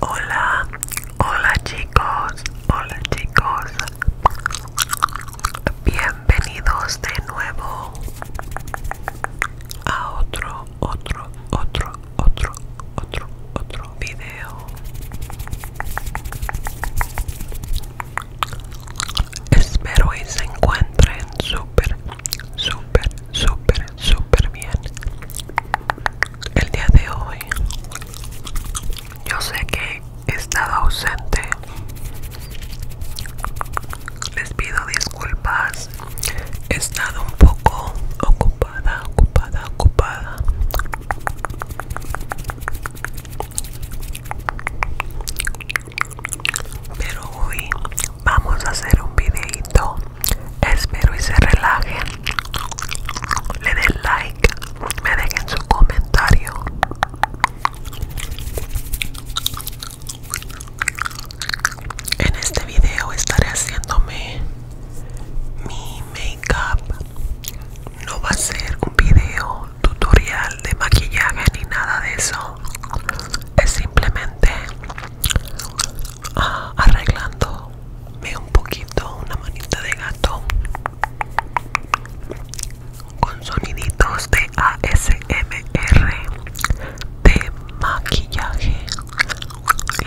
Hola, hola chicos, hola chicos, bienvenidos de nuevo a otro, otro, otro, otro, otro, otro video. Espero y se encuentren súper, súper, súper, súper bien. El día de hoy, yo sé que he estado ausente. Les pido disculpas. He estado un poco ocupada, ocupada, ocupada. Pero hoy vamos a hacer un videito. Espero y se relajen. Le den like. Me dejen su comentario. En este video estaré haciéndome mi make-up. No va a ser un video tutorial de maquillaje ni nada de eso es simplemente ah, arreglando arreglándome un poquito una manita de gato con soniditos de ASMR de maquillaje y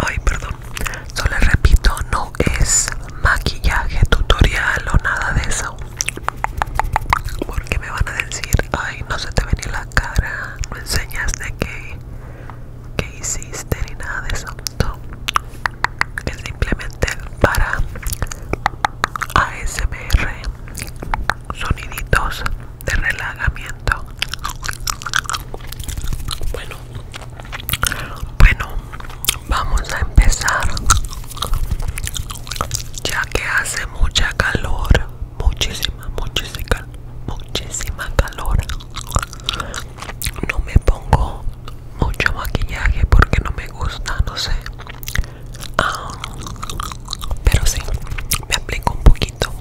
ay perdón solo repito no es maquillaje tutorial o nada de eso porque me van a decir ay no se te ni la cara no enseñas de qué que hiciste ni nada de eso es simplemente para ASMR soniditos de relajamiento bueno bueno vamos a empezar ya que hace mucha calor muchísima muchísima muchísima calor no me pongo mucho maquillaje porque no me gusta no sé ah, pero sí me aplico un poquito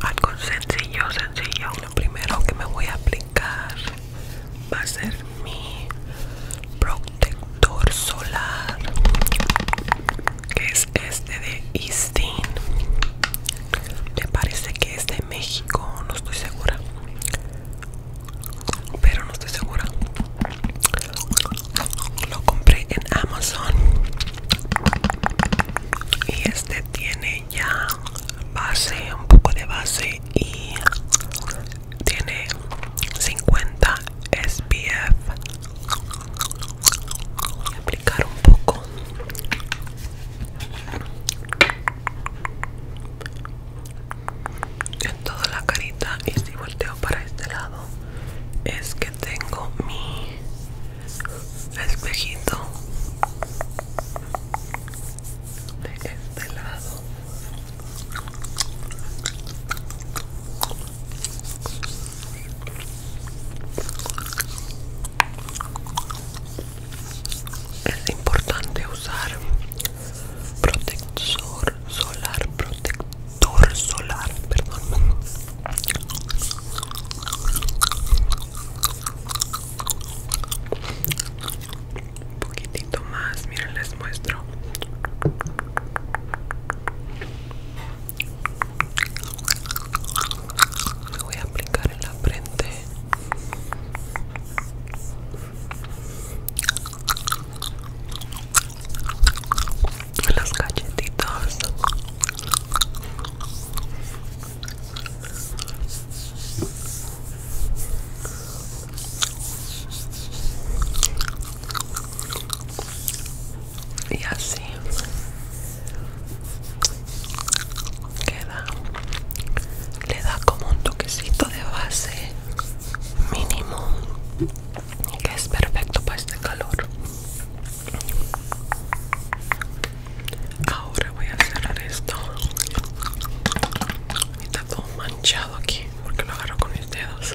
algo sencillo, sencillo. Lo primero que me voy a aplicar va a ser mi protector solar, que es este de Eastin. Me parece que es de México, no estoy segura, pero no estoy segura. Lo compré en Amazon y este tiene ya base un poco de base y tiene 50 SPF voy a aplicar un poco en toda la carita y si volteo para este lado es que tengo mi espejito de este lado es importante usar protector solar protector solar perdón un poquitito más miren les muestro me voy a aplicar en la frente los cachetitos y así queda le da como un toquecito de base mínimo que es perfecto para este calor Ahora voy a cerrar esto. Está todo manchado aquí porque lo agarro con mis dedos.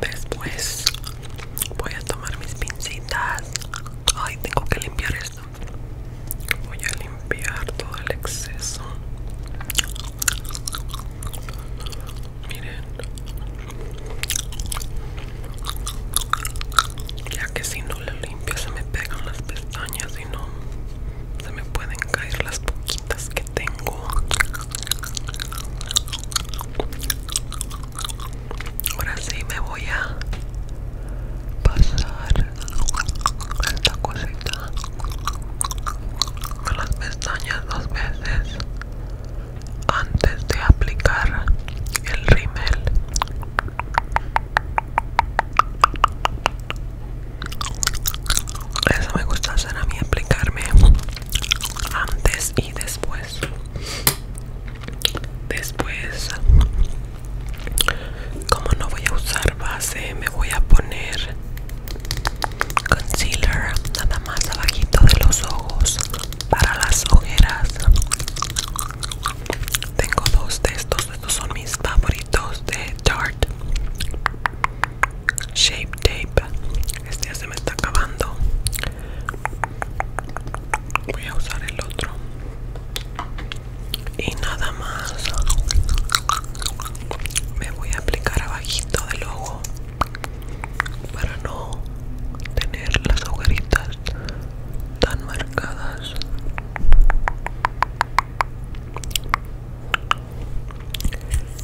Después voy a tomar mis pincitas. Ay, tengo que limpiar esto voy a limpiar todo el exceso miren ya que si no lo limpio se me pegan las pestañas y no se me pueden caer las poquitas que tengo ahora sí me voy a pasar esta cosita con las pestañas dos veces antes de aplicar el rímel eso me gusta hacer a mí aplicarme antes y después después como no voy a usar base me voy a poner concealer nada más abajito de los ojos para las ojeras tengo dos de estos estos son mis favoritos de Tarte Shape Tape este ya se me está acabando voy a usar el otro y nada más me voy a aplicar abajito del ojo para no tener las agujeritas tan marcadas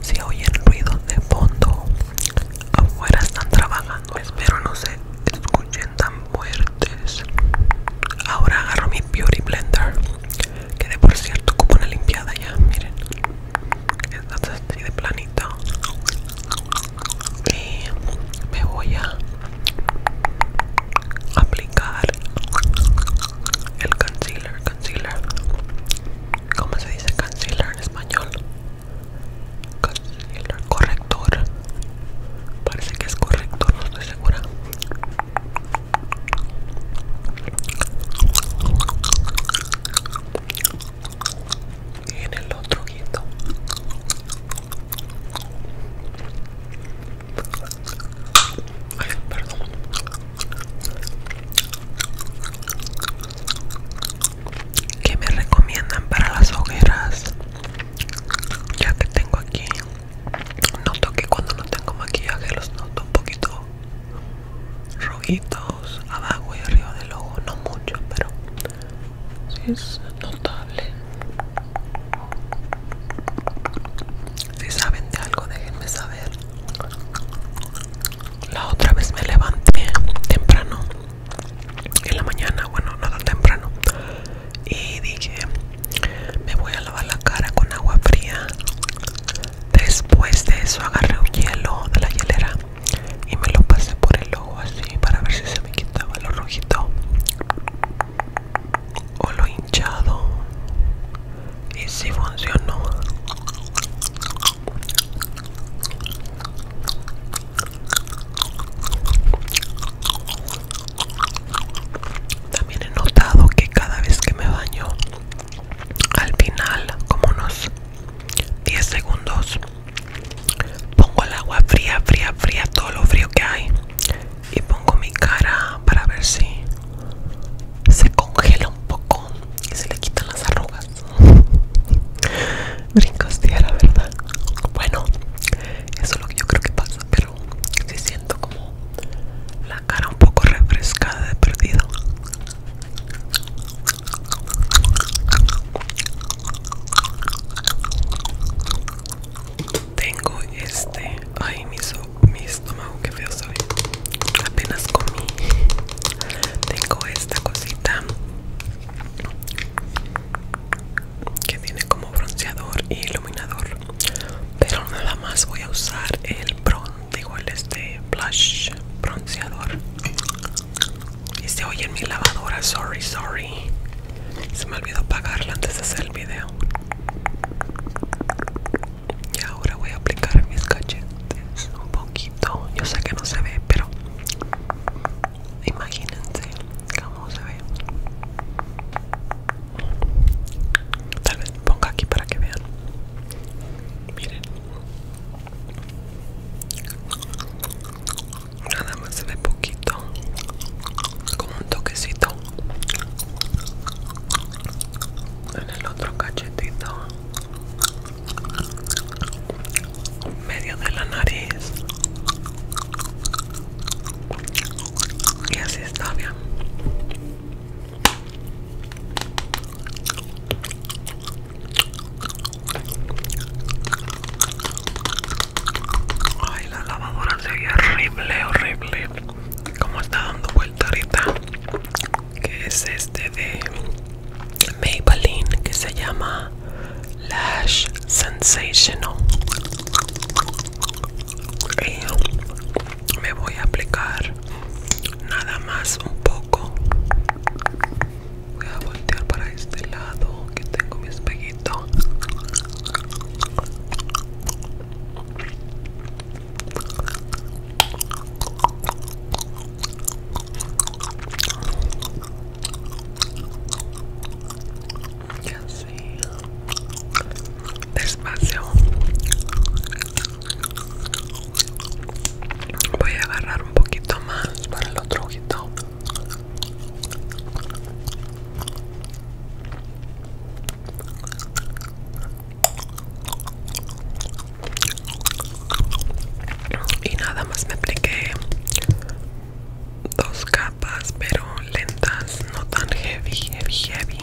si oyen ruido de fondo afuera están trabajando espero no se escuchen tan fuerte entonces, ahora agarro mi beauty blender que de por cierto como una limpiada ya miren está así de planito y me voy a aplicar el concealer concealer ¿Cómo se dice concealer en español? Concealer, corrector. Parece que es corrector, no estoy segura en el otro ay perdón que me recomiendan para las hogueras ya que tengo aquí Noto que cuando no tengo maquillaje los noto un poquito rojitos abajo y arriba del ojo, no mucho, pero si es notable. Si saben de algo, déjenme saber. La otra vez me levanté temprano en la mañana, bueno, no tan temprano, y dije me voy a lavar la cara con agua fría después de eso agarré un hielo de la hielera y me lo pasé por el ojo así para ver si se me quitaba lo rojito o lo hinchado y si funcionó también he notado que cada vez que me baño, al final, como unos 10 segundos, pongo el agua fría, fría, fría, todo lo frío que hay, y pongo mi cara para ver si se congela un poco y se le quitan las arrugas. Brincos la ¿verdad? Bueno, eso es lo que yo creo que pasa, pero si siento como la cara un poco refrescada de perdido. Tengo este. Ay, mi, mi estómago, que feo soy. Apenas comí. Tengo esta cosita que tiene como bronceador y iluminador pero nada más voy a usar el bronce digo este blush bronceador y se oye en mi lavadora sorry sorry se me olvidó apagarla antes de hacer el video y ahora voy a aplicar mis cachetes un poquito yo sé que no se ve pero imagínense cómo se ve Tal vez ponga aquí para que vean. Miren. Nada más se ve poquito. Como un toquecito. En el otro cachetito. Medio de la nariz y así está bien ay la lavadora se ve horrible horrible como está dando vuelta ahorita que es este de Maybelline que se llama Lash Sensational eh, me voy a aplicar nada más un poco voy a voltear para este lado que tengo mi espejito y así despacio voy a agarrar un poquito más para el otro ojito y nada más me apliqué dos capas pero lentas no tan heavy heavy heavy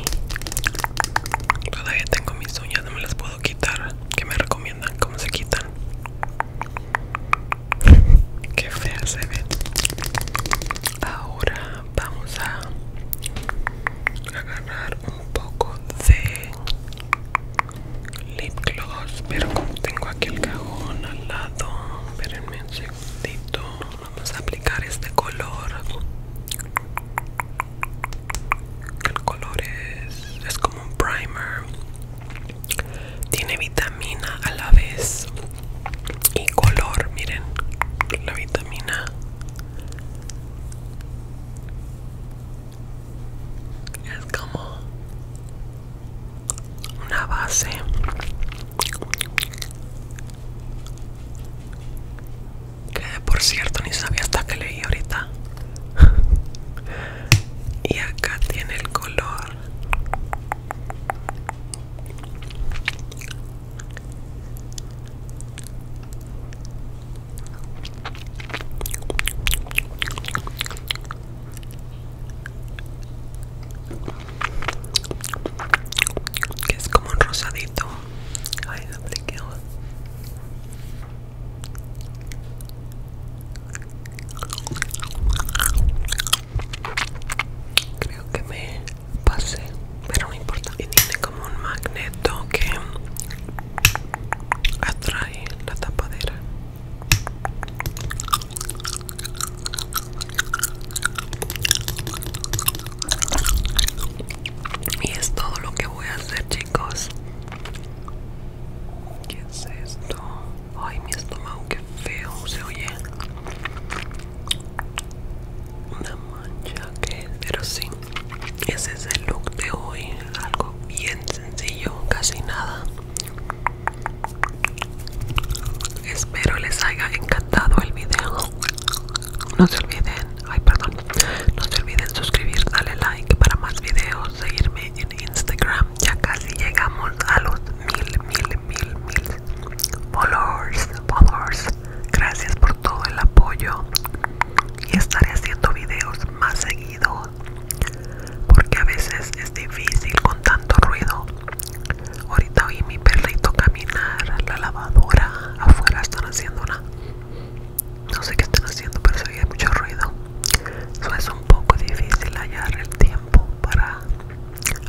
todavía tengo mis uñas no me las puedo quitar que me recomiendan cómo se quitan que fea se ve ahora vamos a agarrar un poco de lip gloss pero como tengo aquí el cajón al lado espérenme un segundito vamos a aplicar este color el color es, es como un primer tiene vitamina a la vez y color miren la vitamina es como una base que por cierto ni sabía hasta que leí ahorita. y acá tiene el color que es como un rosadito creo que me pase pero no importa y tiene como un magneto que atrae la tapadera y es todo lo que voy a hacer, chicos. ¿Qué es esto? Ay, mi estómago, que feo se oye. Una mancha que pero sí. Ese es el look de hoy. Algo bien sencillo, casi nada. Espero les haya encantado el video. No se olviden, ay perdón, no se olviden suscribir, darle like para más videos, seguirme en Instagram. Ya casi llegamos a los mil, mil, mil, mil followers, Gracias por todo el apoyo y estaré haciendo videos más seguido, porque a veces es difícil con tanto ruido Ahorita oí mi perrito caminar la lavadora. Afuera están haciendo una. No sé qué están haciendo, pero se oye mucho ruido. Eso es un poco difícil hallar el tiempo para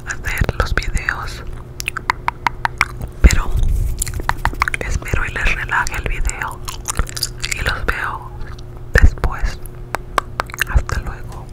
hacer los videos. Pero espero y les relaje el video. Y los veo después. Hasta luego.